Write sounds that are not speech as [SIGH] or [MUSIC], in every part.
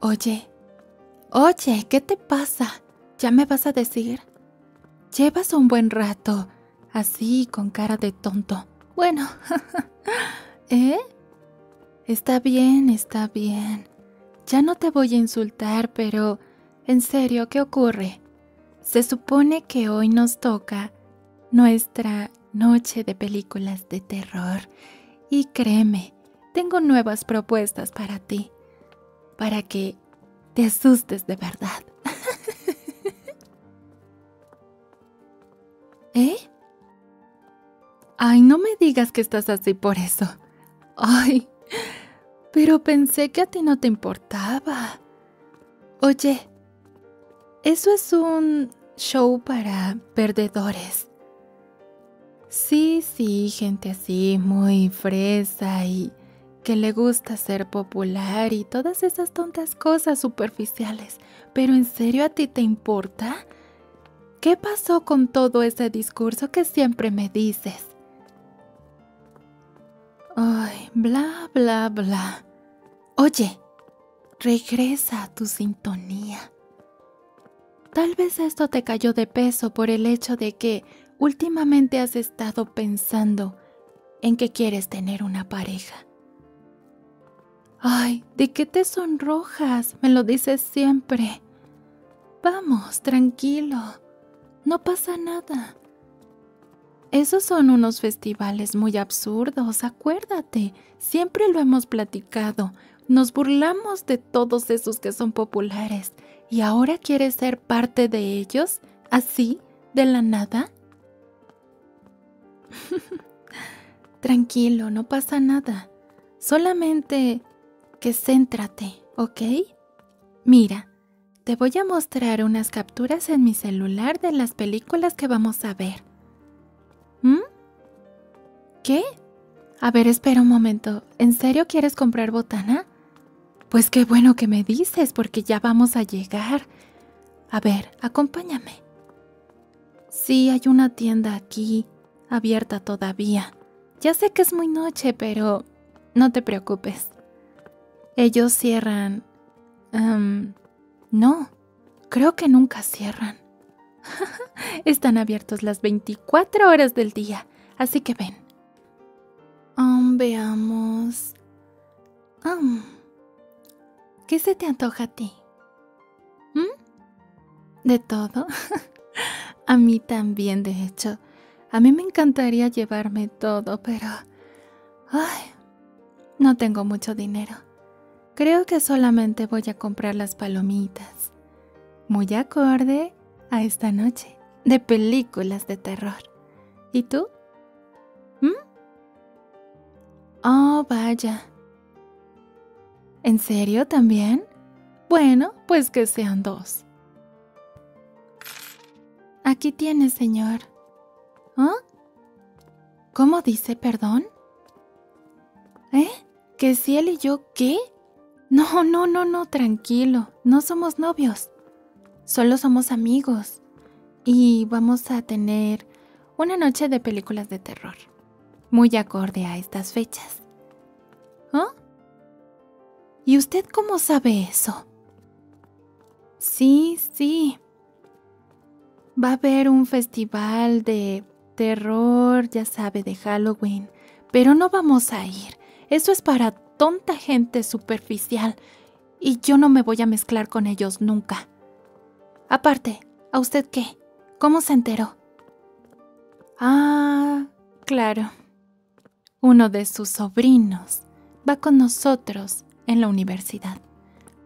Oye, oye, ¿qué te pasa? ¿Ya me vas a decir? Llevas un buen rato, así con cara de tonto. Bueno, [LAUGHS] ¿eh? Está bien, está bien. Ya no te voy a insultar, pero... En serio, ¿qué ocurre? Se supone que hoy nos toca nuestra noche de películas de terror y créeme, tengo nuevas propuestas para ti, para que te asustes de verdad. [LAUGHS] ¿Eh? Ay, no me digas que estás así por eso. Ay, pero pensé que a ti no te importaba. Oye, eso es un show para perdedores. Sí, sí, gente así, muy fresa y que le gusta ser popular y todas esas tontas cosas superficiales. Pero ¿en serio a ti te importa? ¿Qué pasó con todo ese discurso que siempre me dices? Ay, bla, bla, bla. Oye, regresa a tu sintonía. Tal vez esto te cayó de peso por el hecho de que últimamente has estado pensando en que quieres tener una pareja. Ay, ¿de qué te sonrojas? Me lo dices siempre. Vamos, tranquilo. No pasa nada. Esos son unos festivales muy absurdos, acuérdate, siempre lo hemos platicado, nos burlamos de todos esos que son populares y ahora quieres ser parte de ellos, así, de la nada. [LAUGHS] Tranquilo, no pasa nada, solamente que céntrate, ¿ok? Mira, te voy a mostrar unas capturas en mi celular de las películas que vamos a ver. ¿Mm? ¿Qué? A ver, espera un momento. ¿En serio quieres comprar botana? Pues qué bueno que me dices, porque ya vamos a llegar. A ver, acompáñame. Sí, hay una tienda aquí, abierta todavía. Ya sé que es muy noche, pero no te preocupes. Ellos cierran Em, no, creo que nunca cierran. [LAUGHS] Están abiertos las 24 horas del día, así que ven. Um, veamos. Um, ¿Qué se te antoja a ti? ¿Mm? ¿De todo? [LAUGHS] a mí también, de hecho. A mí me encantaría llevarme todo, pero... Ay, no tengo mucho dinero. Creo que solamente voy a comprar las palomitas. Muy acorde a esta noche de películas de terror. ¿Y tú? ¿Mmm? Oh, vaya. ¿En serio también? Bueno, pues que sean dos. Aquí tienes, señor. ¿Ah? ¿Cómo dice perdón? ¿Eh? ¿Que si él y yo qué? No, no, no, no, tranquilo. No somos novios. Solo somos amigos. Y vamos a tener una noche de películas de terror. Muy acorde a estas fechas. ¿Ah? ¿Y usted cómo sabe eso? Sí, sí. Va a haber un festival de terror, ya sabe, de Halloween. Pero no vamos a ir. Eso es para tonta gente superficial. Y yo no me voy a mezclar con ellos nunca. Aparte, ¿a usted qué? ¿Cómo se enteró? Ah, claro. Uno de sus sobrinos va con nosotros en la universidad.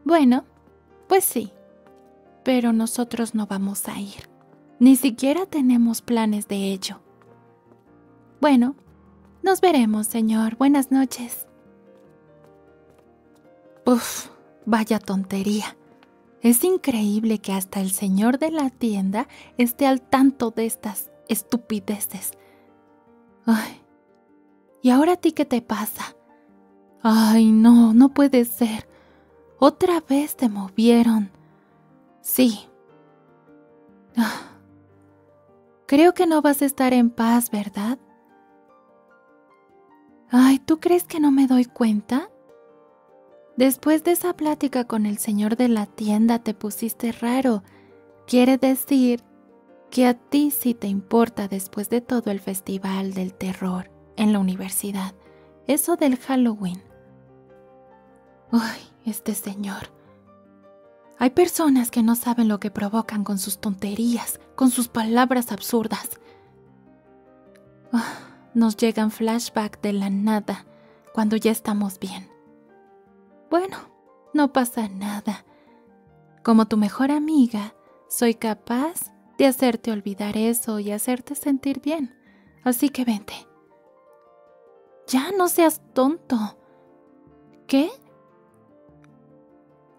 Bueno, pues sí, pero nosotros no vamos a ir. Ni siquiera tenemos planes de ello. Bueno, nos veremos, señor. Buenas noches. Uf, vaya tontería. Es increíble que hasta el señor de la tienda esté al tanto de estas estupideces. Ay, ¿Y ahora a ti qué te pasa? Ay, no, no puede ser. Otra vez te movieron. Sí. Ah. Creo que no vas a estar en paz, ¿verdad? Ay, ¿tú crees que no me doy cuenta? Después de esa plática con el señor de la tienda te pusiste raro. Quiere decir que a ti sí te importa después de todo el festival del terror en la universidad, eso del Halloween. Ay, este señor. Hay personas que no saben lo que provocan con sus tonterías, con sus palabras absurdas. Ah, nos llegan flashback de la nada cuando ya estamos bien. Bueno, no pasa nada. Como tu mejor amiga, soy capaz de hacerte olvidar eso y hacerte sentir bien. Así que vente. Ya no seas tonto. ¿Qué?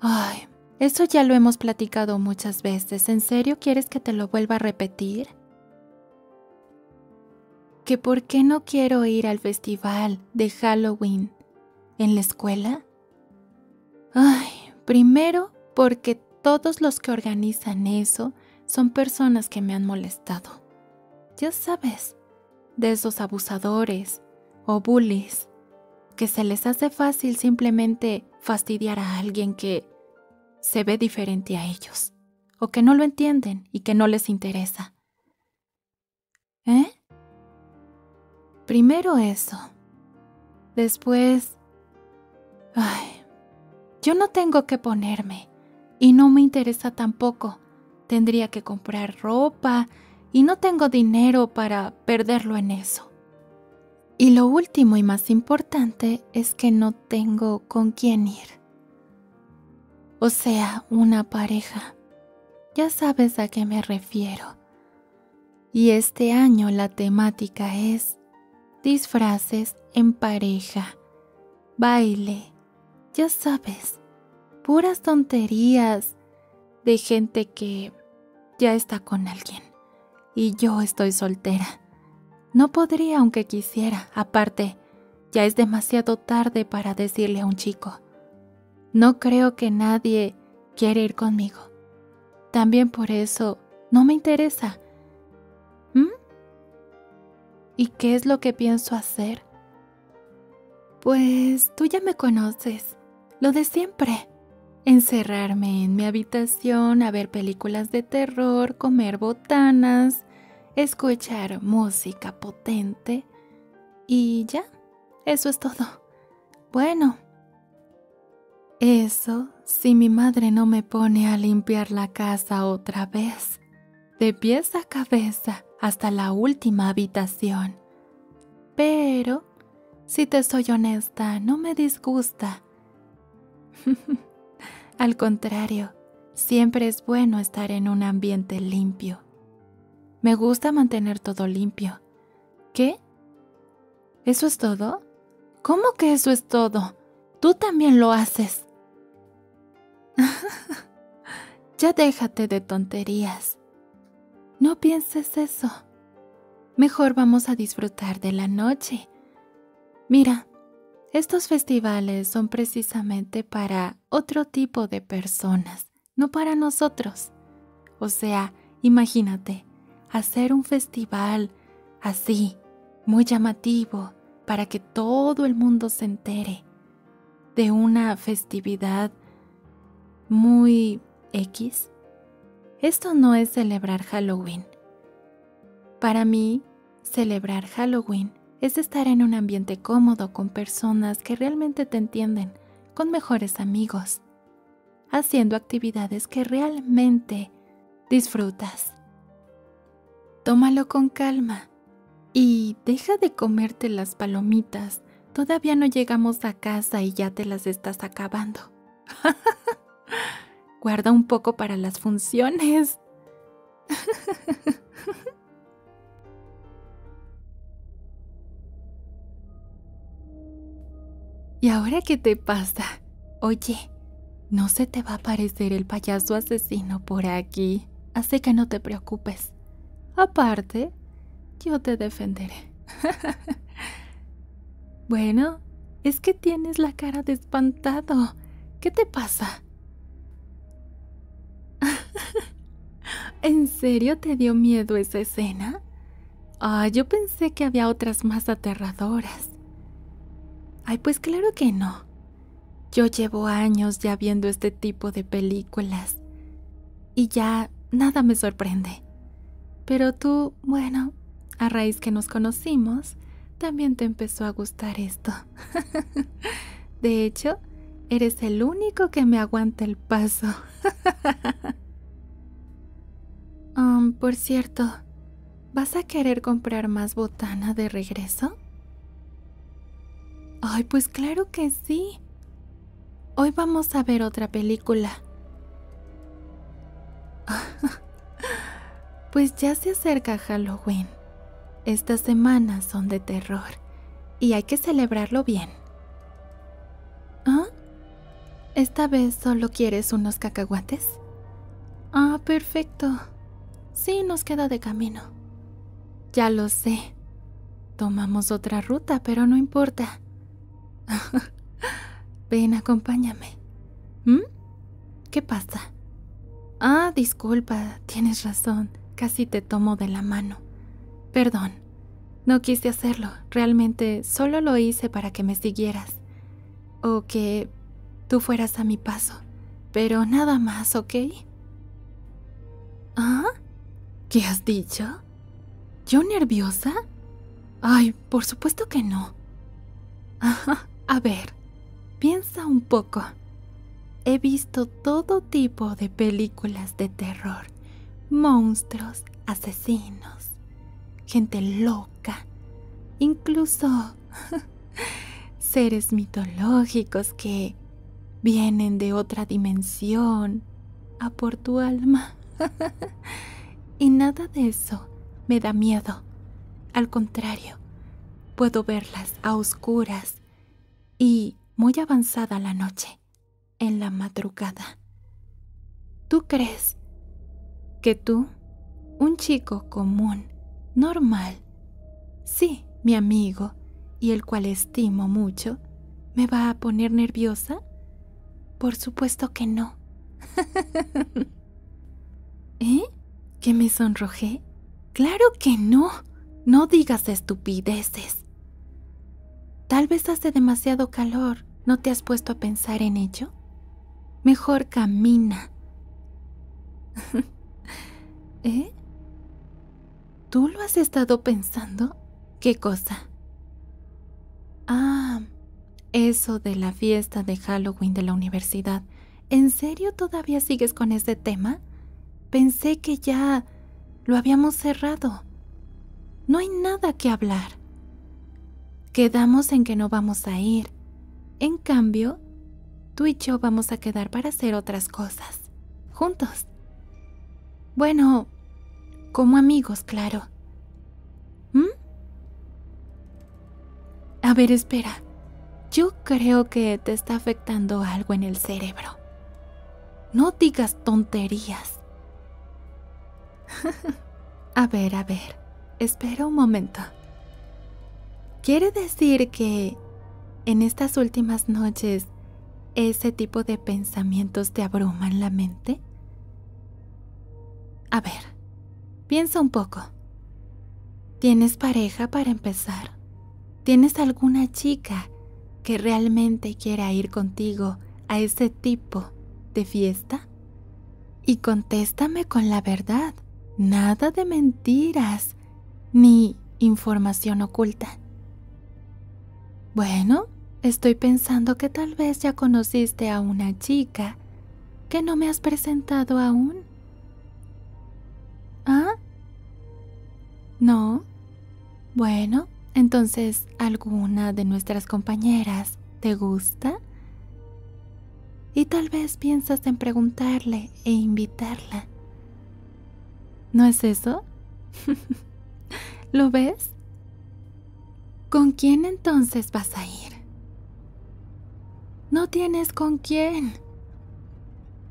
Ay, eso ya lo hemos platicado muchas veces. ¿En serio quieres que te lo vuelva a repetir? ¿Que por qué no quiero ir al festival de Halloween en la escuela? Ay, primero porque todos los que organizan eso son personas que me han molestado. Ya sabes, de esos abusadores o bullies, que se les hace fácil simplemente fastidiar a alguien que se ve diferente a ellos, o que no lo entienden y que no les interesa. ¿Eh? Primero eso. Después... Ay, yo no tengo que ponerme. Y no me interesa tampoco. Tendría que comprar ropa y no tengo dinero para perderlo en eso. Y lo último y más importante es que no tengo con quién ir. O sea, una pareja. Ya sabes a qué me refiero. Y este año la temática es disfraces en pareja, baile, ya sabes, puras tonterías de gente que ya está con alguien. Y yo estoy soltera. No podría aunque quisiera. Aparte, ya es demasiado tarde para decirle a un chico. No creo que nadie quiera ir conmigo. También por eso no me interesa. ¿Mm? ¿Y qué es lo que pienso hacer? Pues tú ya me conoces, lo de siempre. Encerrarme en mi habitación a ver películas de terror, comer botanas, escuchar música potente y ya, eso es todo. Bueno. Eso si mi madre no me pone a limpiar la casa otra vez, de pies a cabeza hasta la última habitación. Pero, si te soy honesta, no me disgusta. [LAUGHS] Al contrario, siempre es bueno estar en un ambiente limpio. Me gusta mantener todo limpio. ¿Qué? ¿Eso es todo? ¿Cómo que eso es todo? Tú también lo haces. [LAUGHS] ya déjate de tonterías. No pienses eso. Mejor vamos a disfrutar de la noche. Mira, estos festivales son precisamente para otro tipo de personas, no para nosotros. O sea, imagínate, hacer un festival así, muy llamativo, para que todo el mundo se entere de una festividad muy X. Esto no es celebrar Halloween. Para mí, Celebrar Halloween es estar en un ambiente cómodo con personas que realmente te entienden, con mejores amigos, haciendo actividades que realmente disfrutas. Tómalo con calma y deja de comerte las palomitas. Todavía no llegamos a casa y ya te las estás acabando. [LAUGHS] Guarda un poco para las funciones. [LAUGHS] ¿Y ahora qué te pasa? Oye, no se te va a aparecer el payaso asesino por aquí, así que no te preocupes. Aparte, yo te defenderé. [LAUGHS] bueno, es que tienes la cara de espantado. ¿Qué te pasa? [LAUGHS] ¿En serio te dio miedo esa escena? Ah, yo pensé que había otras más aterradoras. Ay, pues claro que no. Yo llevo años ya viendo este tipo de películas y ya nada me sorprende. Pero tú, bueno, a raíz que nos conocimos, también te empezó a gustar esto. [LAUGHS] De hecho, eres el único que me aguanta el paso. [LAUGHS] Um, por cierto, ¿vas a querer comprar más botana de regreso? Ay, pues claro que sí. Hoy vamos a ver otra película. [LAUGHS] pues ya se acerca Halloween. Estas semanas son de terror y hay que celebrarlo bien. ¿Ah? ¿Esta vez solo quieres unos cacahuates? Ah, perfecto. Sí, nos queda de camino. Ya lo sé. Tomamos otra ruta, pero no importa. [LAUGHS] Ven, acompáñame. ¿Mm? ¿Qué pasa? Ah, disculpa, tienes razón. Casi te tomo de la mano. Perdón. No quise hacerlo. Realmente solo lo hice para que me siguieras. O que tú fueras a mi paso. Pero nada más, ¿ok? ¿Ah? ¿Qué has dicho? ¿Yo nerviosa? Ay, por supuesto que no. a ver, piensa un poco. He visto todo tipo de películas de terror, monstruos, asesinos, gente loca, incluso [LAUGHS] seres mitológicos que vienen de otra dimensión a por tu alma. [LAUGHS] y nada de eso me da miedo. Al contrario, puedo verlas a oscuras y muy avanzada la noche, en la madrugada. ¿Tú crees que tú, un chico común, normal, sí, mi amigo, y el cual estimo mucho, me va a poner nerviosa? Por supuesto que no. [LAUGHS] ¿Eh? ¿Que me sonrojé? Claro que no. No digas estupideces. Tal vez hace demasiado calor. ¿No te has puesto a pensar en ello? Mejor camina. [LAUGHS] ¿Eh? ¿Tú lo has estado pensando? ¿Qué cosa? Ah, eso de la fiesta de Halloween de la universidad. ¿En serio todavía sigues con ese tema? Pensé que ya lo habíamos cerrado. No hay nada que hablar. Quedamos en que no vamos a ir. En cambio, tú y yo vamos a quedar para hacer otras cosas. Juntos. Bueno, como amigos, claro. ¿Mm? A ver, espera. Yo creo que te está afectando algo en el cerebro. No digas tonterías. [LAUGHS] a ver, a ver. Espera un momento. Quiere decir que en estas últimas noches ese tipo de pensamientos te abruman la mente? A ver, Piensa un poco. ¿Tienes pareja para empezar? ¿Tienes alguna chica que realmente quiera ir contigo a ese tipo de fiesta? Y contéstame con la verdad, nada de mentiras ni información oculta. Bueno, estoy pensando que tal vez ya conociste a una chica que no me has presentado aún. ¿Ah? ¿No? Bueno, entonces, ¿alguna de nuestras compañeras te gusta? Y tal vez piensas en preguntarle e invitarla. ¿No es eso? [LAUGHS] ¿Lo ves? ¿Con quién entonces vas a ir? No tienes con quién.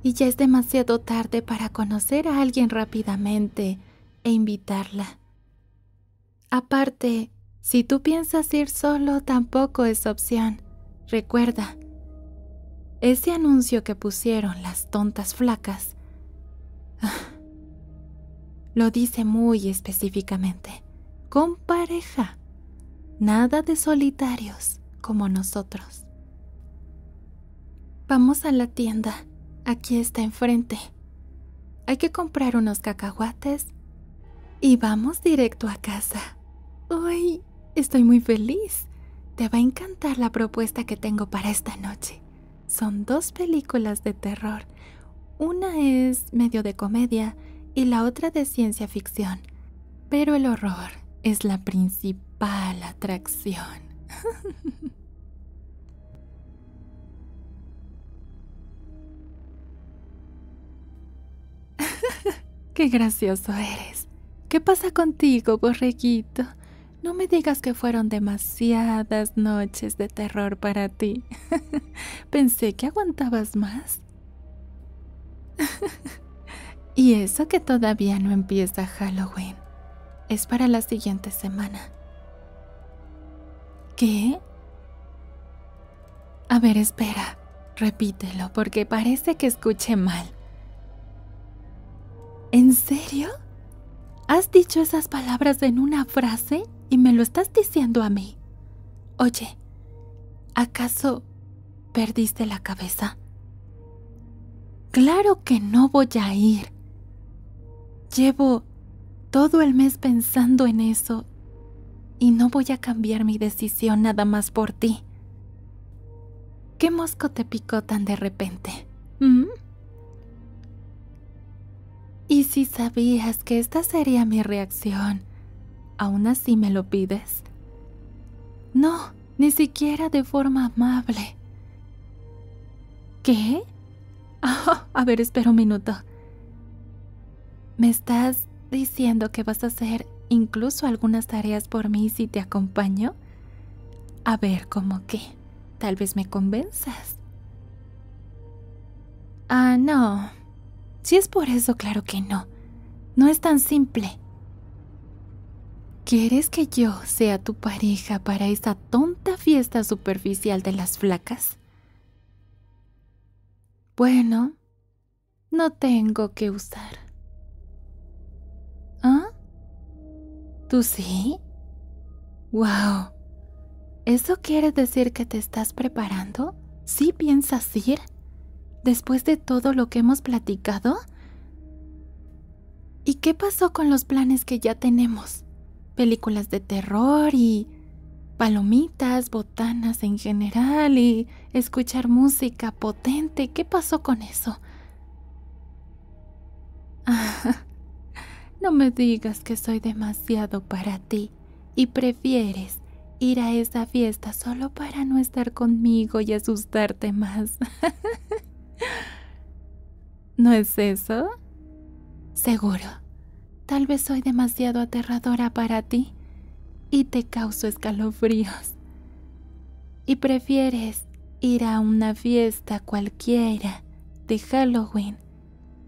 Y ya es demasiado tarde para conocer a alguien rápidamente e invitarla. Aparte, si tú piensas ir solo tampoco es opción. Recuerda, ese anuncio que pusieron las tontas flacas [SIGHS] lo dice muy específicamente. Con pareja. Nada de solitarios como nosotros. Vamos a la tienda. Aquí está enfrente. Hay que comprar unos cacahuates y vamos directo a casa. Uy, estoy muy feliz. Te va a encantar la propuesta que tengo para esta noche. Son dos películas de terror. Una es medio de comedia y la otra de ciencia ficción. Pero el horror es la principal atracción. [LAUGHS] ¡Qué gracioso eres! ¿Qué pasa contigo, borreguito? No me digas que fueron demasiadas noches de terror para ti. [LAUGHS] Pensé que aguantabas más y eso que todavía no empieza Halloween. Es para la siguiente semana. ¿Qué? A ver, espera. Repítelo porque parece que escuché mal. ¿En serio? ¿Has dicho esas palabras en una frase y me lo estás diciendo a mí? Oye, ¿acaso ¿Perdiste la cabeza? Claro que no voy a ir. Llevo todo el mes pensando en eso y no voy a cambiar mi decisión nada más por ti. ¿Qué mosco te picó tan de repente? ¿Mm? ¿Y si sabías que esta sería mi reacción a una si me lo pides. No, ni siquiera de forma amable. ¿Qué? [LAUGHS] Ah, a ver, espera un minuto. ¿Me estás diciendo que vas a hacer incluso algunas tareas por mí si te acompaño? A ver, ¿cómo que. Tal vez me convenzas. Ah, no, si es por eso, claro que no. No es tan simple. ¿Quieres que yo sea tu pareja para esa tonta fiesta superficial de las flacas? Bueno, no tengo que usar. ¿Ah? ¿Tú sí? ¡Wow! ¿Eso quiere decir que te estás preparando? ¿Sí piensas ir? ¿Después de todo lo que hemos platicado? ¿Y qué pasó con los planes que ya tenemos? Películas de terror y palomitas, botanas en general y escuchar música potente. ¿Qué pasó con eso? [LAUGHS] no me digas que soy demasiado para ti y prefieres ir a esa fiesta solo para no estar conmigo y asustarte más. [LAUGHS] ¿No es eso? Seguro. Tal vez soy demasiado aterradora para ti y te causo escalofríos. Y prefieres ir a una fiesta cualquiera de Halloween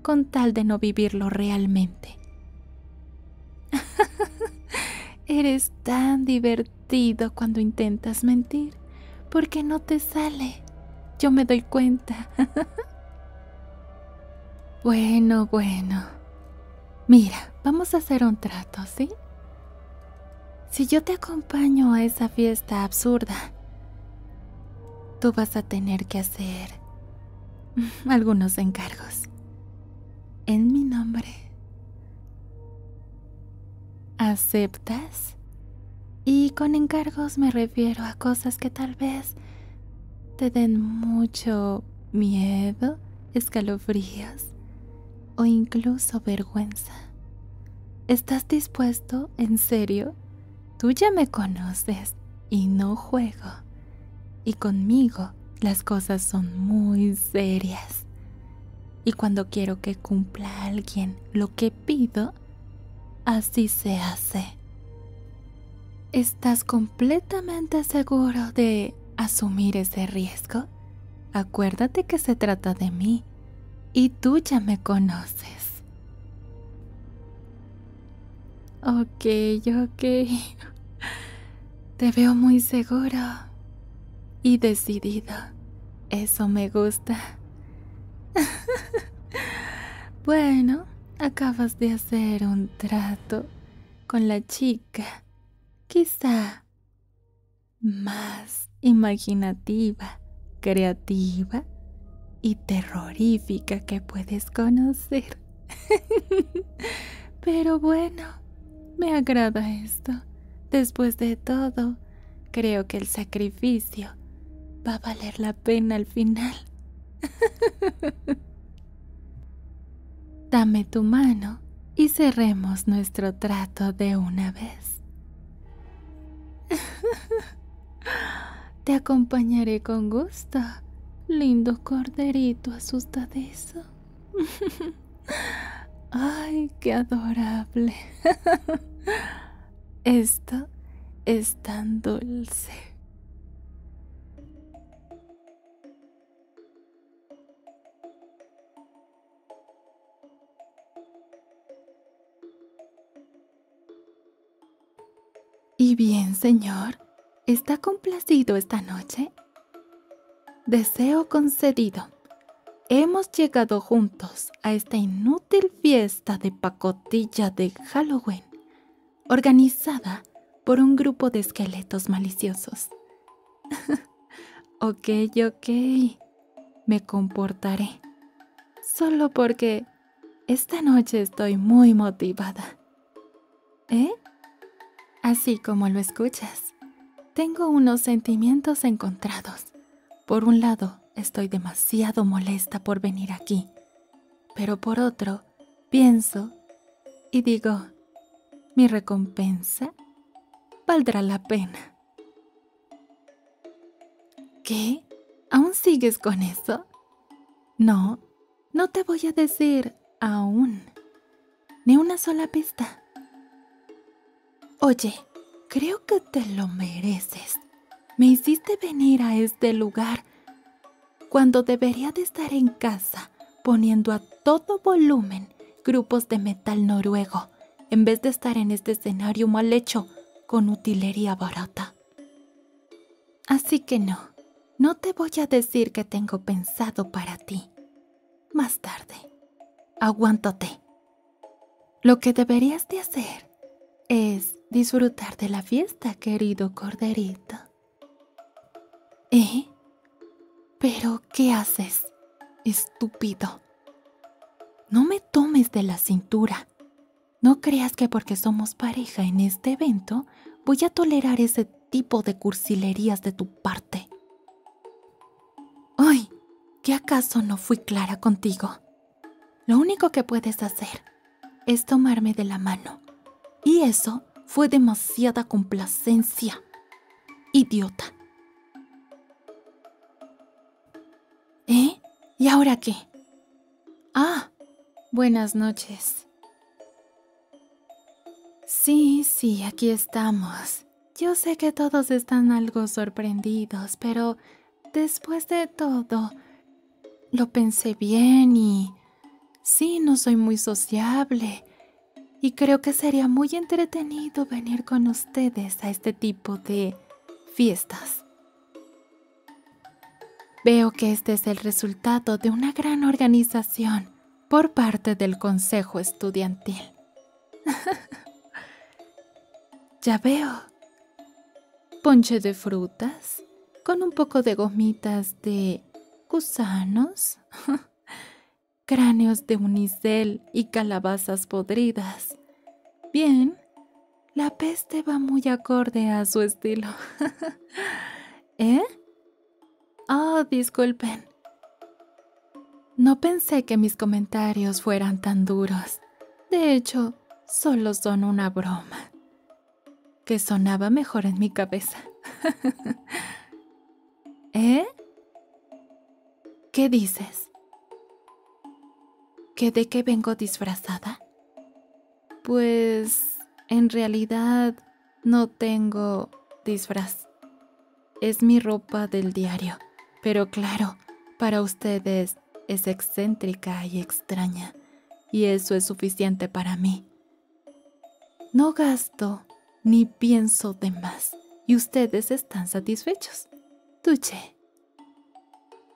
con tal de no vivirlo realmente. [LAUGHS] Eres tan divertido cuando intentas mentir, porque no te sale. Yo me doy cuenta. [LAUGHS] bueno, bueno. Mira, vamos a hacer un trato, ¿sí? Si yo te acompaño a esa fiesta absurda, tú vas a tener que hacer [LAUGHS] algunos encargos en mi nombre. ¿Aceptas? Y con encargos me refiero a cosas que tal vez te den mucho miedo, escalofríos o incluso vergüenza. ¿Estás dispuesto, en serio? Tú ya me conoces y no juego. Y conmigo las cosas son muy serias. Y cuando quiero que cumpla alguien lo que pido, así se hace. ¿Estás completamente seguro de asumir ese riesgo? Acuérdate que se trata de mí y tú ya me conoces. Ok, ok. Te veo muy seguro y decidido. Eso me gusta. bueno, acabas de hacer un trato con la chica. Quizá más imaginativa, creativa y terrorífica que puedes conocer. [LAUGHS] Pero bueno, me agrada esto. Después de todo, creo que el sacrificio va a valer la pena al final. [LAUGHS] Dame tu mano y cerremos nuestro trato de una vez. [LAUGHS] Te acompañaré con gusto, lindo corderito asustadizo. [LAUGHS] ¡Ay, qué adorable! [LAUGHS] Esto es tan dulce. ¿Y bien, señor? ¿Está complacido esta noche? Deseo concedido. Hemos llegado juntos a esta inútil fiesta de pacotilla de Halloween, organizada por un grupo de esqueletos maliciosos. [LAUGHS] ok, ok. Me comportaré. Solo porque esta noche estoy muy motivada. ¿Eh? Así como lo escuchas, tengo unos sentimientos encontrados. Por un lado, estoy demasiado molesta por venir aquí, pero por otro, pienso y digo, mi recompensa valdrá la pena. ¿Qué? ¿Aún sigues con eso? No, no te voy a decir aún. Ni una sola pista. Oye, creo que te lo mereces. Me hiciste venir a este lugar cuando debería de estar en casa poniendo a todo volumen grupos de metal noruego en vez de estar en este escenario mal hecho con utilería barata. Así que no, no te voy a decir que tengo pensado para ti. Más tarde, aguántate. Lo que deberías de hacer es disfrutar de la fiesta, querido corderito. ¿Eh? ¿Pero qué haces, estúpido? No me tomes de la cintura. No creas que porque somos pareja en este evento voy a tolerar ese tipo de cursilerías de tu parte. ¡Ay! ¿Qué acaso no fui clara contigo? Lo único que puedes hacer es tomarme de la mano. Y eso fue demasiada complacencia. Idiota. ¿Eh? ¿Y ahora qué? Ah, buenas noches. Sí, sí, aquí estamos. Yo sé que todos están algo sorprendidos, pero después de todo, lo pensé bien y... Sí, no soy muy sociable. Y creo que sería muy entretenido venir con ustedes a este tipo de fiestas. Veo que este es el resultado de una gran organización por parte del Consejo Estudiantil. [LAUGHS] ya veo. Ponche de frutas con un poco de gomitas de gusanos, [LAUGHS] cráneos de unicel y calabazas podridas. Bien, la peste va muy acorde a su estilo. [LAUGHS] ¿Eh? Oh, disculpen. No pensé que mis comentarios fueran tan duros. De hecho, solo son una broma. Que sonaba mejor en mi cabeza. [LAUGHS] ¿Eh? ¿Qué dices? ¿Que de qué vengo disfrazada? Pues en realidad no tengo disfraz. Es mi ropa del diario. Pero claro, para ustedes es excéntrica y extraña. Y eso es suficiente para mí. No gasto ni pienso de más. Y ustedes están satisfechos. Tuche.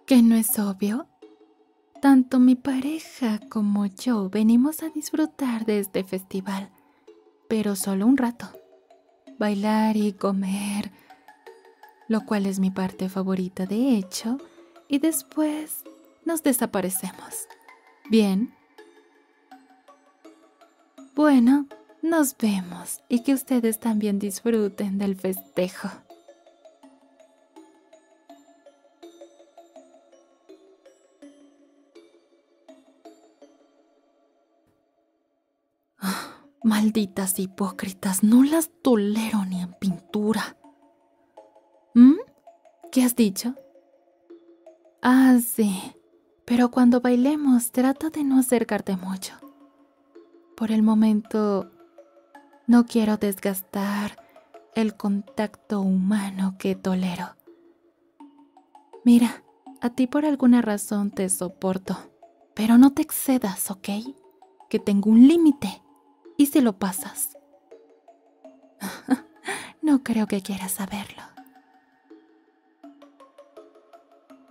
¿Que no es obvio? Tanto mi pareja como yo venimos a disfrutar de este festival, pero solo un rato. Bailar y comer, lo cual es mi parte favorita de hecho, y después nos desaparecemos. ¿Bien? Bueno, nos vemos y que ustedes también disfruten del festejo. Ah, malditas hipócritas, no las tolero ni en pintura. ¿Mm? ¿Qué has dicho? Ah, sí. Pero cuando bailemos, trata de no acercarte mucho. Por el momento, no quiero desgastar el contacto humano que tolero. Mira, a ti por alguna razón te soporto, pero no te excedas, ¿ok? Que tengo un límite y se lo pasas. [LAUGHS] no creo que quieras saberlo.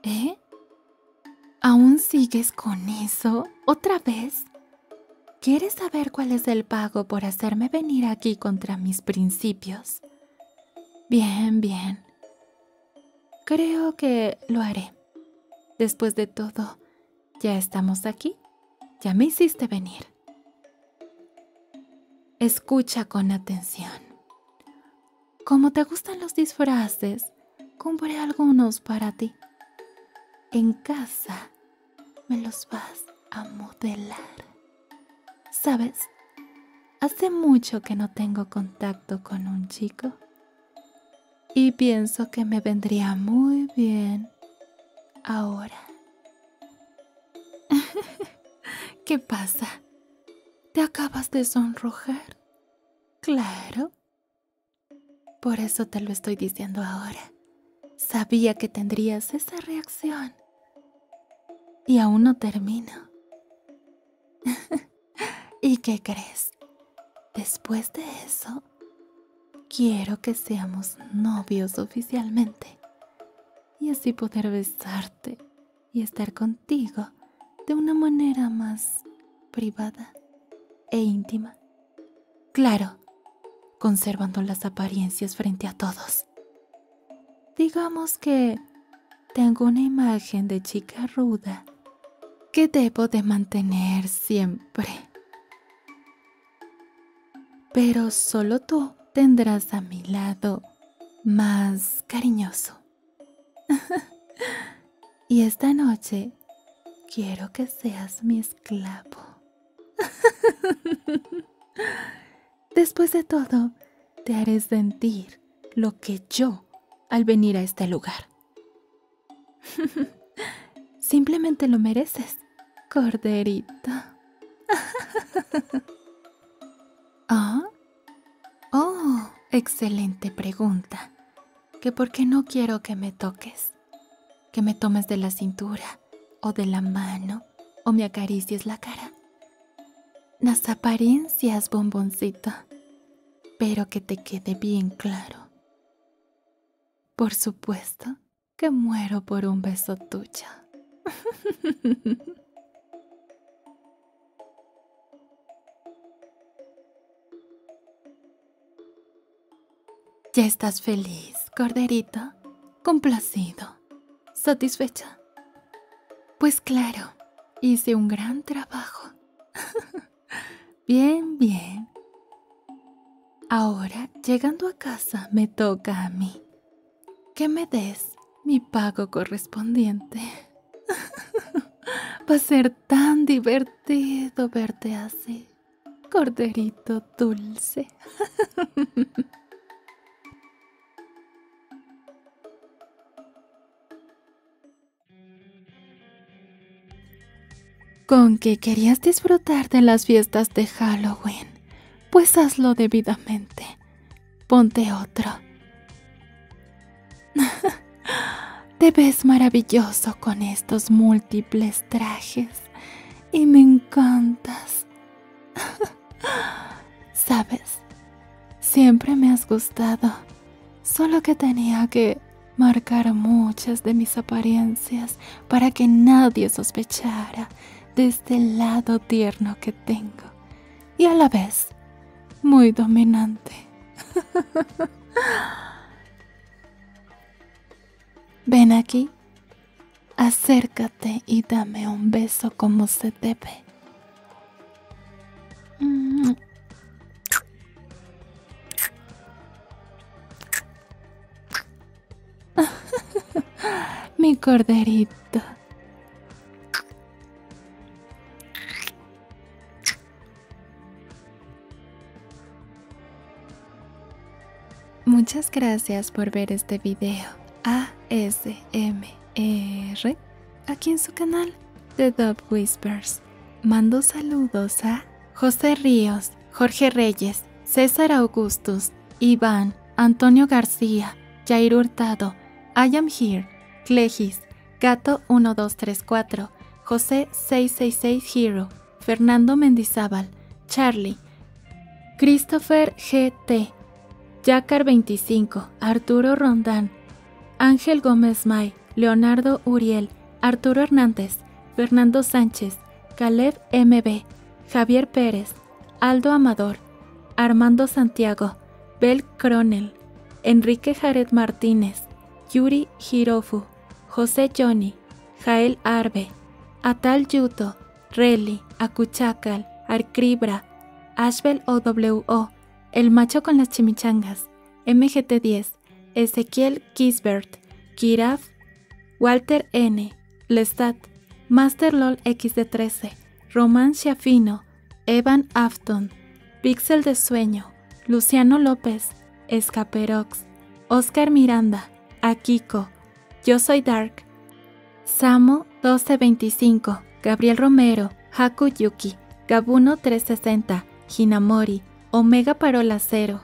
¿Eh? ¿Aún sigues con eso? ¿Otra vez? ¿Quieres saber cuál es el pago por hacerme venir aquí contra mis principios? Bien, bien. Creo que lo haré. Después de todo, ya estamos aquí. Ya me hiciste venir. Escucha con atención. Como te gustan los disfraces, compré algunos para ti. En casa me los vas a modelar. ¿Sabes? Hace mucho que no tengo contacto con un chico. Y pienso que me vendría muy bien ahora. [LAUGHS] ¿Qué pasa? ¿Te acabas de sonrojar? Claro. Por eso te lo estoy diciendo ahora. Sabía que tendrías esa reacción. Y aún no termino. [LAUGHS] ¿Y qué crees? Después de eso, quiero que seamos novios oficialmente. Y así poder besarte y estar contigo de una manera más privada e íntima. Claro, conservando las apariencias frente a todos. Digamos que tengo una imagen de chica ruda que debo de mantener siempre. Pero solo tú tendrás a mi lado más cariñoso. [LAUGHS] y esta noche Quiero que seas mi esclavo. [LAUGHS] Después de todo, te haré sentir lo que yo al venir a este lugar. [LAUGHS] Simplemente lo mereces, corderito. [LAUGHS] Ah, oh, excelente pregunta que porque no quiero que me toques, que me tomes de la cintura o de la mano o me acaricies la cara. Las apariencias, bomboncito, pero que te quede bien claro. Por supuesto que muero por un beso tuyo. [LAUGHS] Ya estás feliz, corderito, complacido, satisfecha. Pues claro, hice un gran trabajo. [LAUGHS] bien, bien. Ahora, llegando a casa, me toca a mí. Que me des mi pago correspondiente. [LAUGHS] Va a ser tan divertido do verte así, corderito dulce. [LAUGHS] Con que querías disfrutar de las fiestas de Halloween, pues hazlo debidamente. Ponte otro. [LAUGHS] Te ves maravilloso con estos múltiples trajes y me encantas. [LAUGHS] Sabes, siempre me has gustado, solo que tenía que marcar muchas de mis apariencias para que nadie sospechara de este lado tierno que tengo y a la vez muy dominante. [LAUGHS] Ven aquí, acércate y dame un beso como se debe. Mm. [LAUGHS] Mi corderito. Muchas gracias por ver este video ASMR aquí en su canal The Dub Whispers. Mando saludos a José Ríos, Jorge Reyes, César Augustus, Iván, Antonio García, Jair Hurtado, I Am Here, Clegis, Gato 1234, José 666 Hero, Fernando Mendizábal, Charlie, Christopher GT, Yacar 25, Arturo Rondán, Ángel Gómez May, Leonardo Uriel, Arturo Hernández, Fernando Sánchez, Caleb MB, Javier Pérez, Aldo Amador, Armando Santiago, Bel Cronel, Enrique Jared Martínez, Yuri Hirofu, José Johnny, Jael Arbe, Atal Yuto, Reli, Acuchacal, Arcribra, Ashbel OWO, El Macho con las Chimichangas, MGT10, Ezequiel Gisbert, Kiraf, Walter N, Lestat, Master LOL XD13, Román Schiafino, Evan Afton, Pixel de Sueño, Luciano López, Escaperox, Oscar Miranda, Akiko, Yo Soy Dark, Samo 1225, Gabriel Romero, HakuYuki, Yuki, Gabuno 360, Hinamori, Omega Parola 0,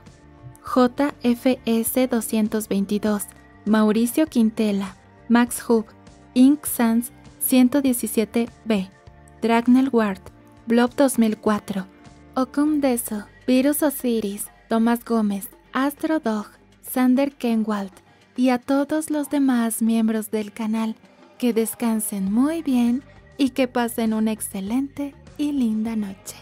JFS 222, Mauricio Quintela, Max Hub, Inc. Sans 117B. Dragnel Ward, Blob 2004, Okum Deso, Virus Osiris, Tomás Gómez, Astro Dog, Sander Kenwald y a todos los demás miembros del canal que descansen muy bien y que pasen una excelente y linda noche.